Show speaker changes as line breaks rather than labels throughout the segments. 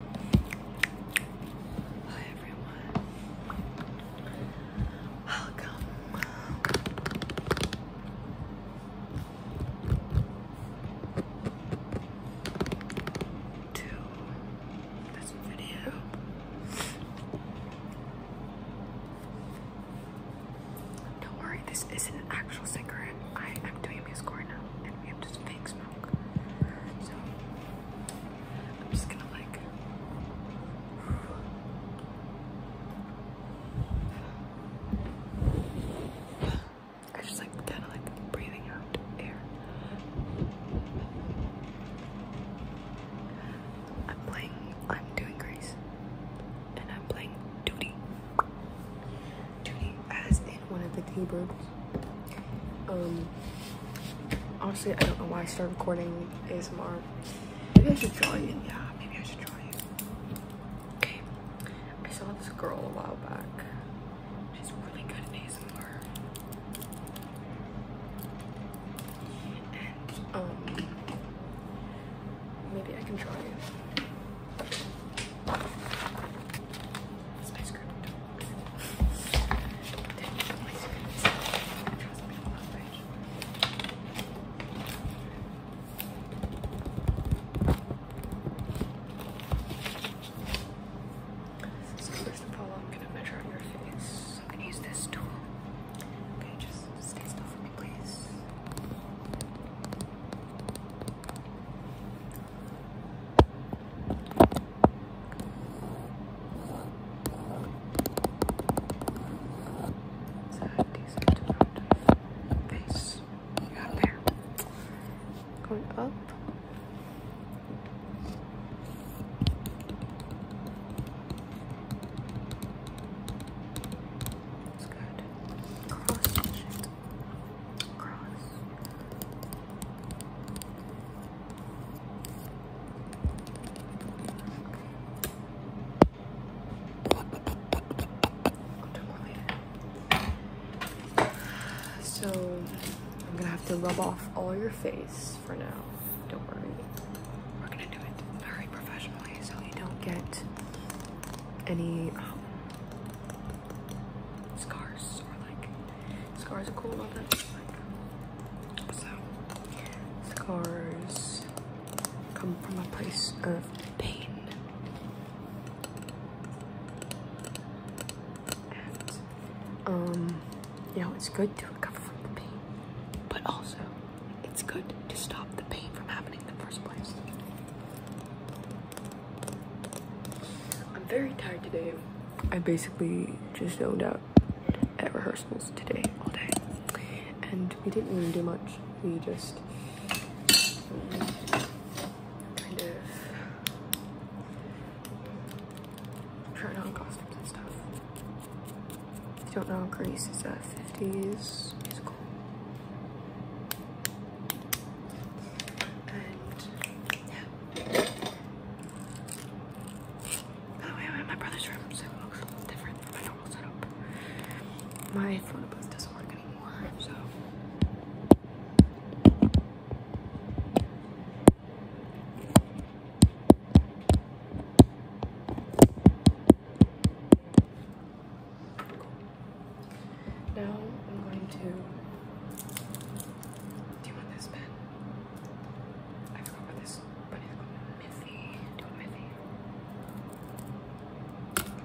Hi everyone. Welcome. To this video. Don't worry, this is an actual secret. I am doing a music now, and we have just fake smoke. I'm just gonna like I just like kind of like breathing out air. I'm playing, I'm doing Grace, and I'm playing Duty as in one of the keyboards. Um, honestly, I don't know why I started recording ASMR. Maybe I should draw you. Yeah, maybe I should draw you. Okay, I saw this girl a while back. She's really good at ASMR. And, um, maybe I can draw you. That's my so here's the pole. I'm gonna measure your face. I'm gonna use this tool. Okay, just stay still for me, please. Base. Got there. Going up. It's good. Cross. Cross. So I'm gonna have to rub off all your face for now. Don't worry. We're gonna do it very professionally so you don't get any scars or like scars are cool all that. so scars come from a place of pain. um you know it's good to recover from the pain, but also it's good to stop the pain from happening in the first place. I'm very tired today. I basically just zoned out at rehearsals today, all day. And we didn't really do much. We just kind of tried on costumes and stuff. If you don't know, Greece is a 50s musical. By the way, I'm in my brother's room, so it looks a little different my normal setup. photo booth doesn't work anymore, so. Now I'm going to. Do you want this pen? I forgot what this but it's called Miffy. Do you want Miffy?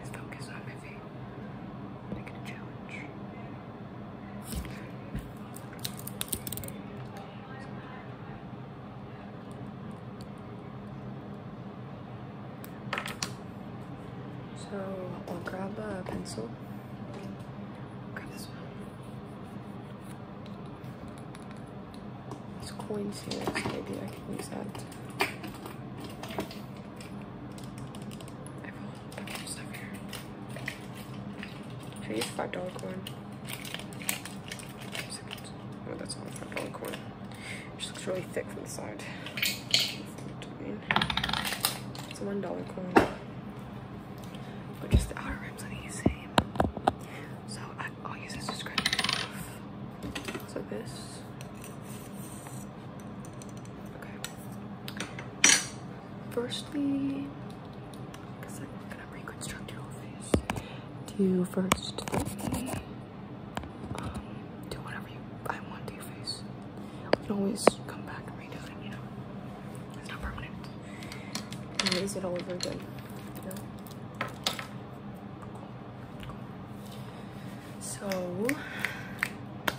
It's focus on Miffy. I'm gonna challenge. So I'll grab a pencil. Grab this one. These coins here, maybe I can use that. I have a stuff here. Should I use five dollar coin? Oh, that's all a five dollar coin. It just looks really thick from the side. It's a one dollar coin. But just the outer rims are the same. So I, will use this to scratch off. So this. Okay. Firstly, because I'm gonna reconstruct your whole face. Do first do whatever you I want to your face. can always come back and redo it, you know. It's not permanent. And raise it all over again, you know. So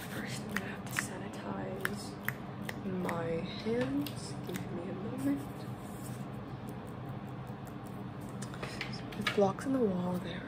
first I'm gonna have to sanitize my hands. Give me a moment. There's blocks in the wall there.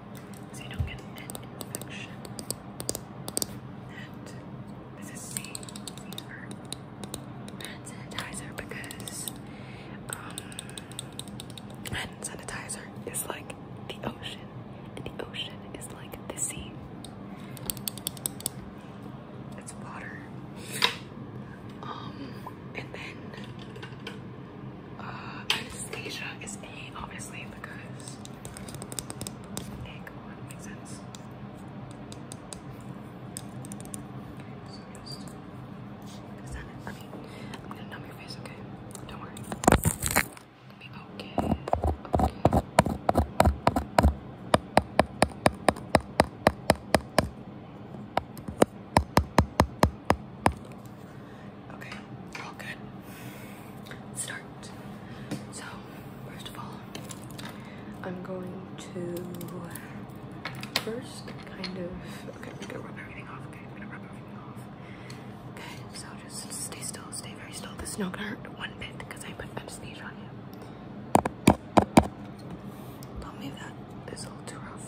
so you don't get an infection. And this is safe for sanitizer because um, sanitizer is like the ocean, and the ocean is like the sea. It's water. Um, and then uh, Anastasia is A, obviously, because egg one makes sense. So just, Okay, I'm gonna numb your face, okay? Don't worry. be Okay. Okay, all good. start. So, first of all, I'm going to first kind of. Okay, I'm gonna rub everything off. Okay, I'm gonna rub everything off. Okay, so just stay still, stay very still. This is not gonna hurt one bit because I put anesthesia on you. Don't Tell me if that is a little too rough.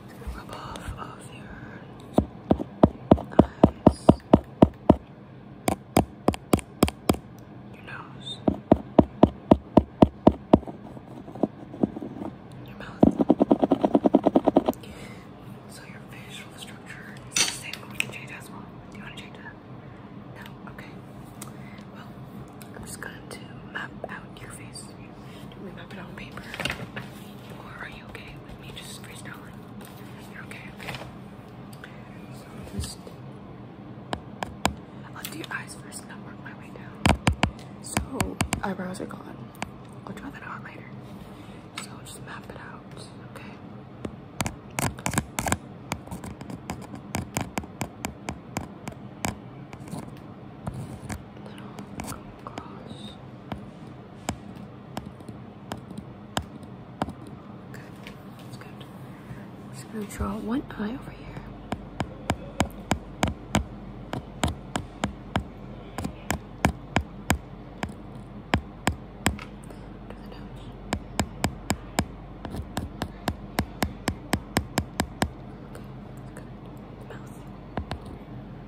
rub your eyes, your nose, your mouth. So your facial structure is the same. We can change as well. Do you want to change that? No? Okay. Well, I'm just going to map out your face. Do we map it on paper? Or are you okay with me just freestyling? You're okay, okay. So just I'll your eyes first and work my way down. So eyebrows are gone. I'll draw that out later. So just map it out, Okay little cross. Good, that's good. I'm just gonna draw one eye over here. Okay, mouth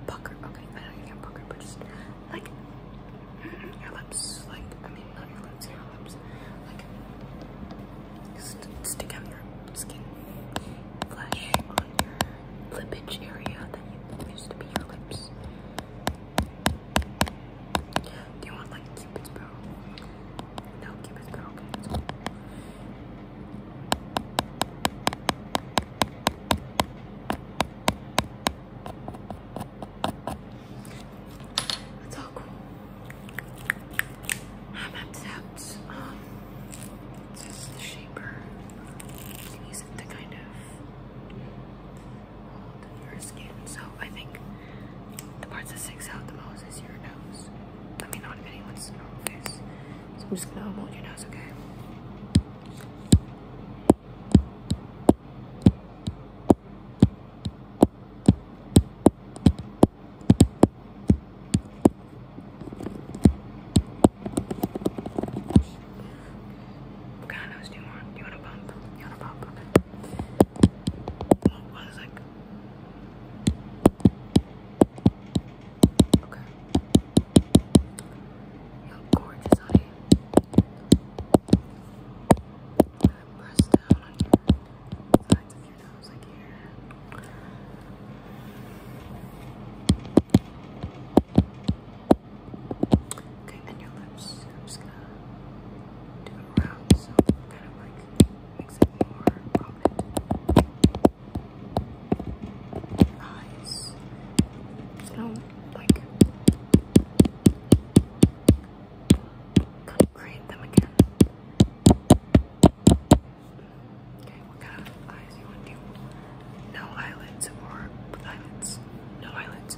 pucker. Okay, I don't even get pucker, but just like mm-hmm, your lips, like I mean, not your lips, your lips, like st stick out your skin, flesh on your lippage area that used to be your lips. Do you want like Cupid's bow? No, Cupid's bow. That's all cool. I'm upset. Um, it's just the shaper. You use it to kind of hold your skin. So I think the parts that sticks out the most is your nose let me know if anyone's known I'm just gonna hold your nose, okay? What kind of nose do you want? You want a bump? You want a bump? Okay. What Okay. You look gorgeous, honey. I'm gonna press down on your sides of your nose Okay, and your lips. I'm just gonna do it around, so kind of like makes it more prominent. Eyes. don't like create them again. Okay, what kind eyes No eyelids or eyelids. No eyelids.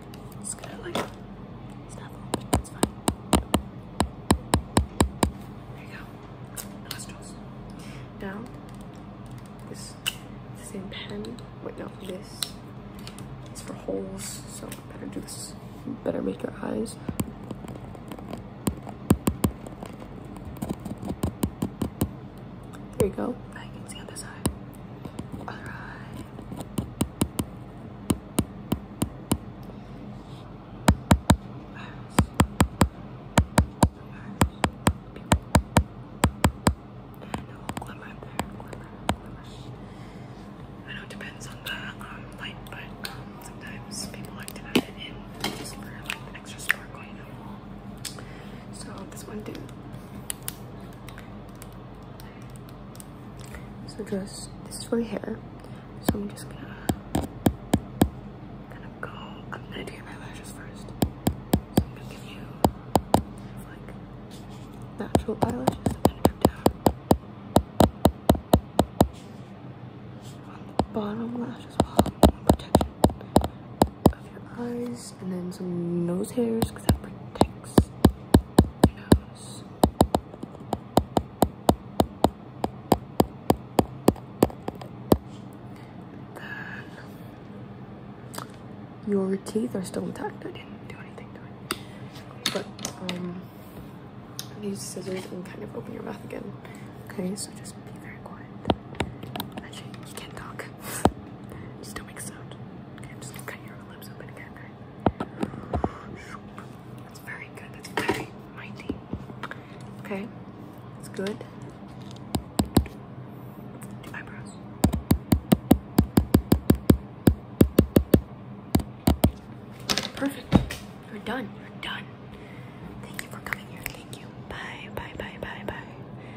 It's gonna like There you go. Nostrils. Now this same pen. Wait, no, this is for holes, so better do this. better make your eyes. There you go. I can see on this side. All right. I know it depends on the um, light, but sometimes people like to have it in just for extra sparkle, you know. So this one did. So just, this is for your hair. So I'm just gonna, gonna go, I'm gonna do my lashes first. So I'm gonna give you like natural eyelashes. I'm gonna drip down on the bottom lash as well. Protection of your eyes. And then some nose hairs because that protects your nose. your teeth are still intact. I didn't do anything to it. But um, use scissors and kind of open your mouth again. Okay, so just be very quiet. Actually, you can talk. Okay. Just don't make sound. Okay, I'm just gonna cut your lips open again, okay? That's very good. That's very mighty. Okay. That's good. eyebrows. Perfect. You're done. You're done. Thank you for coming here. Thank you. Bye. Bye. Bye. Bye. Bye.